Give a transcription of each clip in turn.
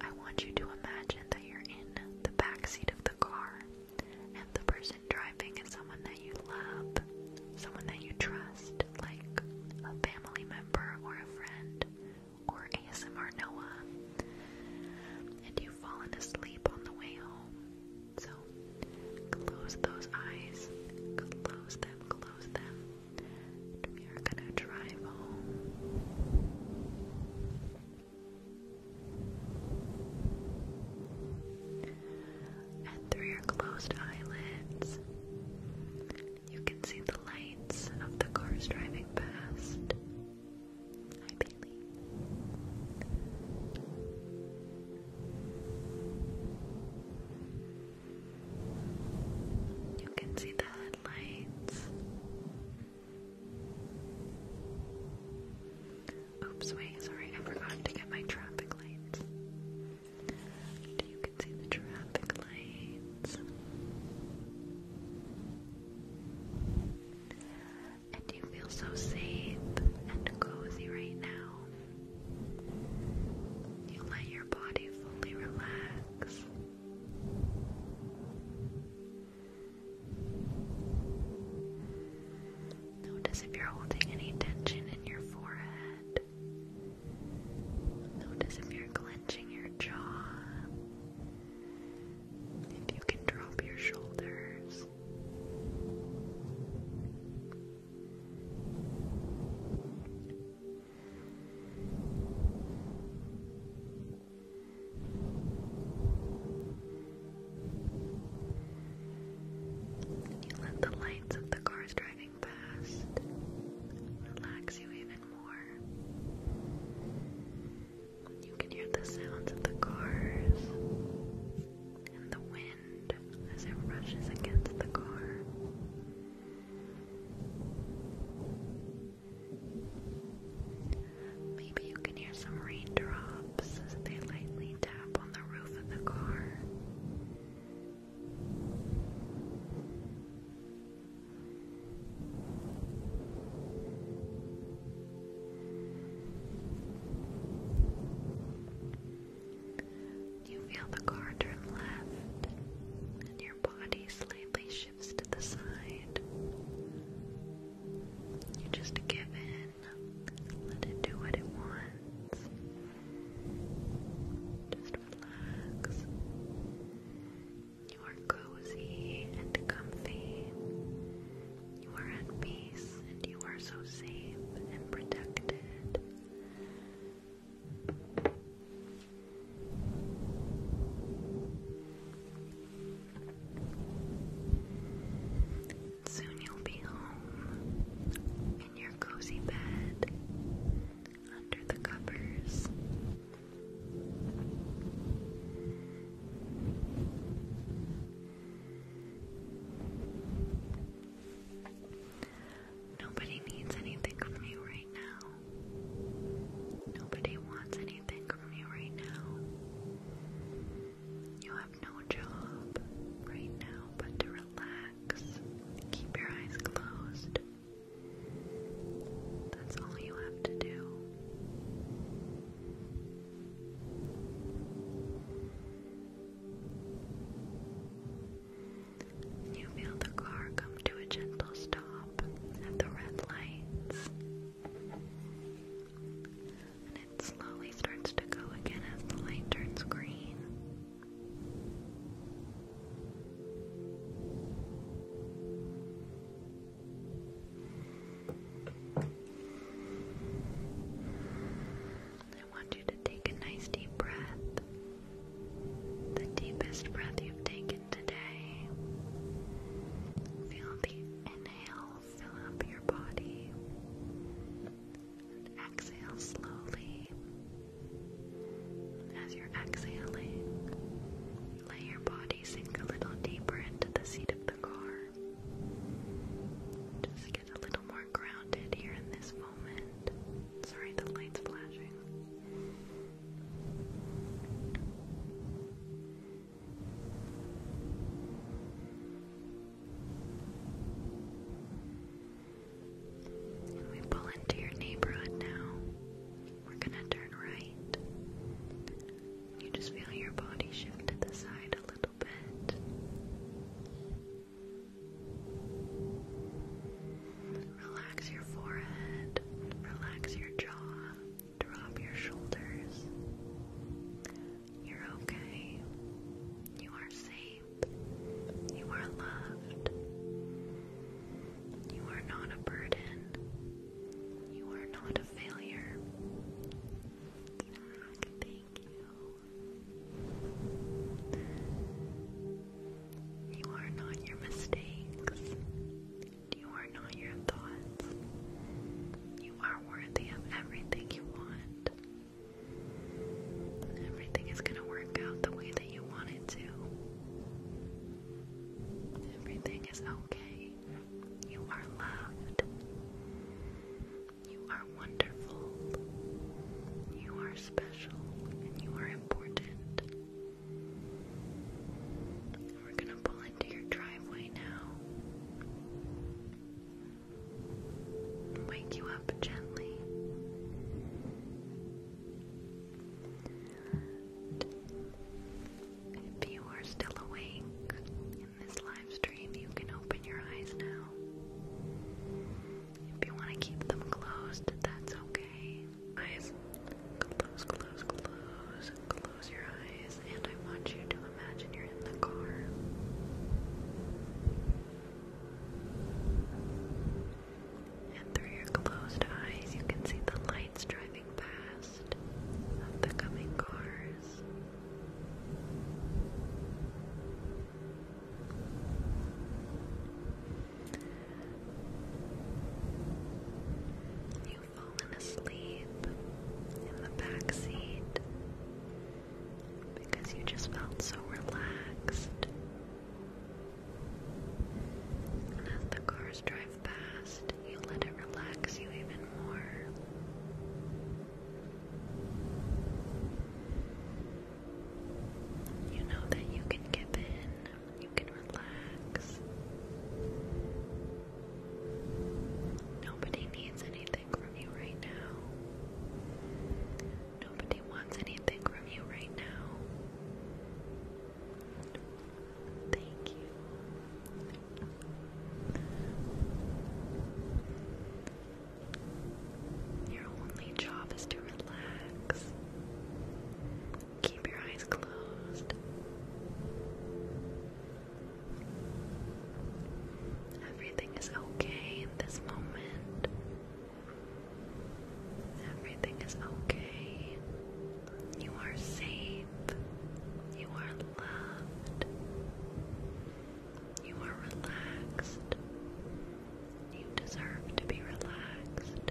I want you to imagine that you're in the back seat of the car and the person driving is someone that you love, someone that you trust, like a family member or a friend or ASMR Noah. And you've fallen asleep on the way home. So close those eyes. Close them, close them we are gonna drive home. And through your closed eyelids, you can see the lights of the cars driving past. Hi, Bailey. You can see the Oops, wait, sorry, I forgot to get my traffic lights. You see the traffic lights. And you feel so safe and cozy right now. You let your body fully relax. Notice if you're holding any tension in your forehead. Notice if you're clenching your jaw. If you can drop your shoulders. You let the lights of the cars driving past relax you even more. You can hear the sounds of the cars and the wind as it rushes against the car. Maybe you can hear some raindrops as they lightly tap on the roof of the car. You feel the car turn left, and your body slightly shifts to the side. You just give in, let it do what it wants. Just relax. You are cozy and comfy. You are at peace, and you are so safe and protected. Soon you'll be home in your cozy bed under the covers. Nobody needs anything from me right now. Nobody wants anything from you right now. You have no job right now but to relax. Keep your eyes closed. That's all you have to do. You feel the car come to a gentle stop at the red lights. And it slowly starts to go again as the light turns green. I want you to take a nice deep breath, the deepest breath you've taken today. Feel the inhale fill up your body, and exhale slowly. As you're exhaling, let your body sink a little deeper into the seat of the car. Just get a little more grounded here in this moment. Sorry, the light's flashing. we pull into your neighborhood now. We're gonna turn right. You just feel your body shift to the side a little bit. Relax your forehead, relax your jaw, drop your shoulders. You're okay. You are safe. You are loved. You are not a burden. You are not a failure thank you. You are not your mistakes. You are not your thoughts. You are worthy of everything you want. Everything is going to work out the way that you want it to. Everything is okay. You are loved. You are wonderful. You are special and you are important. we're going to pull into your driveway now. Wake you up gently. if you are still awake, in this live you can open your eyes now. If you want to keep them closed, that's okay. Eyes, close, close, close, close your eyes, and I want you to imagine you're in the car. And through your closed eyes, you can see the lights driving past of the coming cars. You've asleep in the back seat because you just felt so relaxed. And the cars drive have you let it relax you even more. You know that you can give in, you can relax. Nobody needs anything from you right now. Nobody wants anything from you right now. Thank you. Your only job is to relax. Keep your eyes closed. Everything is okay in this moment. Everything is okay. You are safe. You are loved. You are relaxed. You deserve to be relaxed.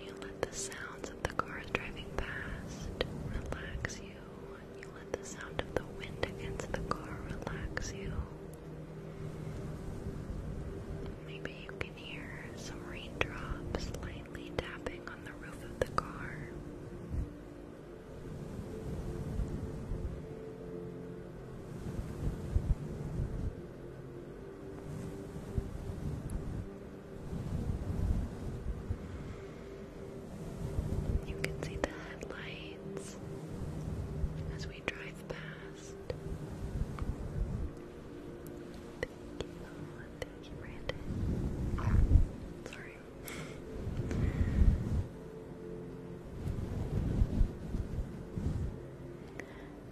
You let the sounds of the cars driving past relax you you let the sound of the wind against the car relax you. Maybe you can hear some raindrops lightly tapping on the roof of the car. You can see the headlights as we drive past. Thank you, thank you, Brandon. Sorry.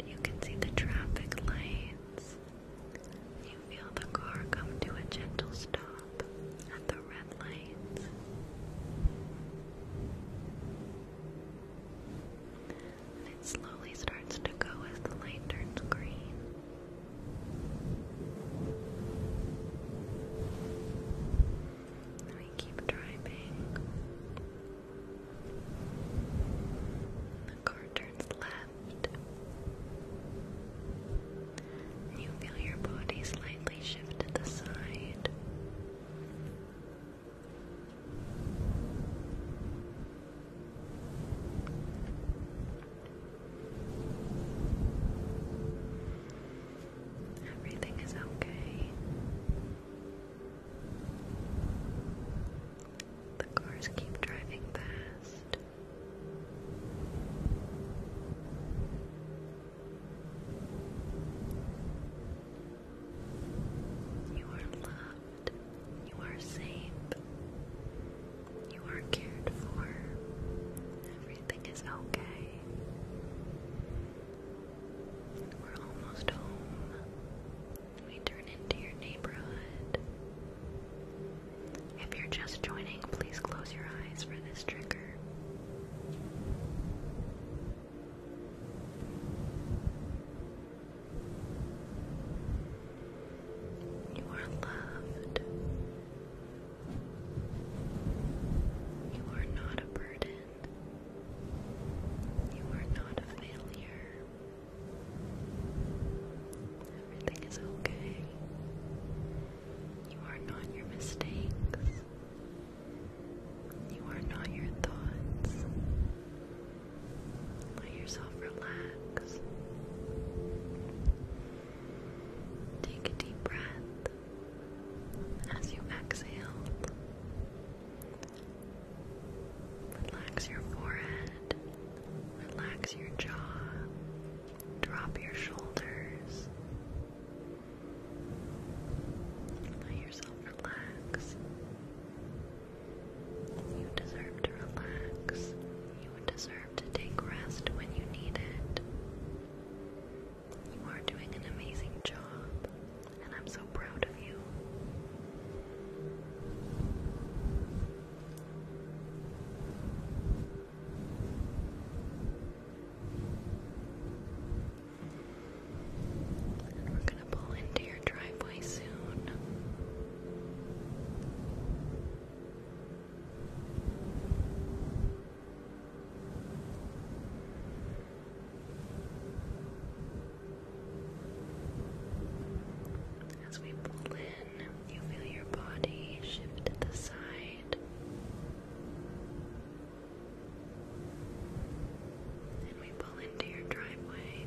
You can see the traffic lights. You feel the car come to a gentle stop at the red light. And it slowly starts to go as the light turns green. we keep driving. The car turns left. You feel your body slightly shift to the side. Everything is okay. The cars keep driving past. You are loved. You are safe. You are cared for. Everything is okay. We're almost home. We turn into your neighborhood. If you're just joining, please close your eyes for this trigger. You are loved. You are not a burden. You are not a failure everything is okay. You are not your mistakes. You are not your thoughts. Let yourself relax. Take a deep breath as you exhale. Relax your forehead. Relax your jaw, drop your shoulders, let yourself relax. You deserve to relax, you deserve to take rest when you need it. You are doing an amazing job, and I'm so proud of you we're going to pull into your driveway soon. As we pull in, you feel your body shift to the side. And we pull into your driveway.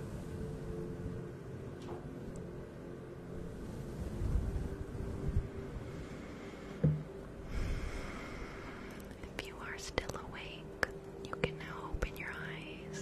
If you are still awake, you can now open your eyes.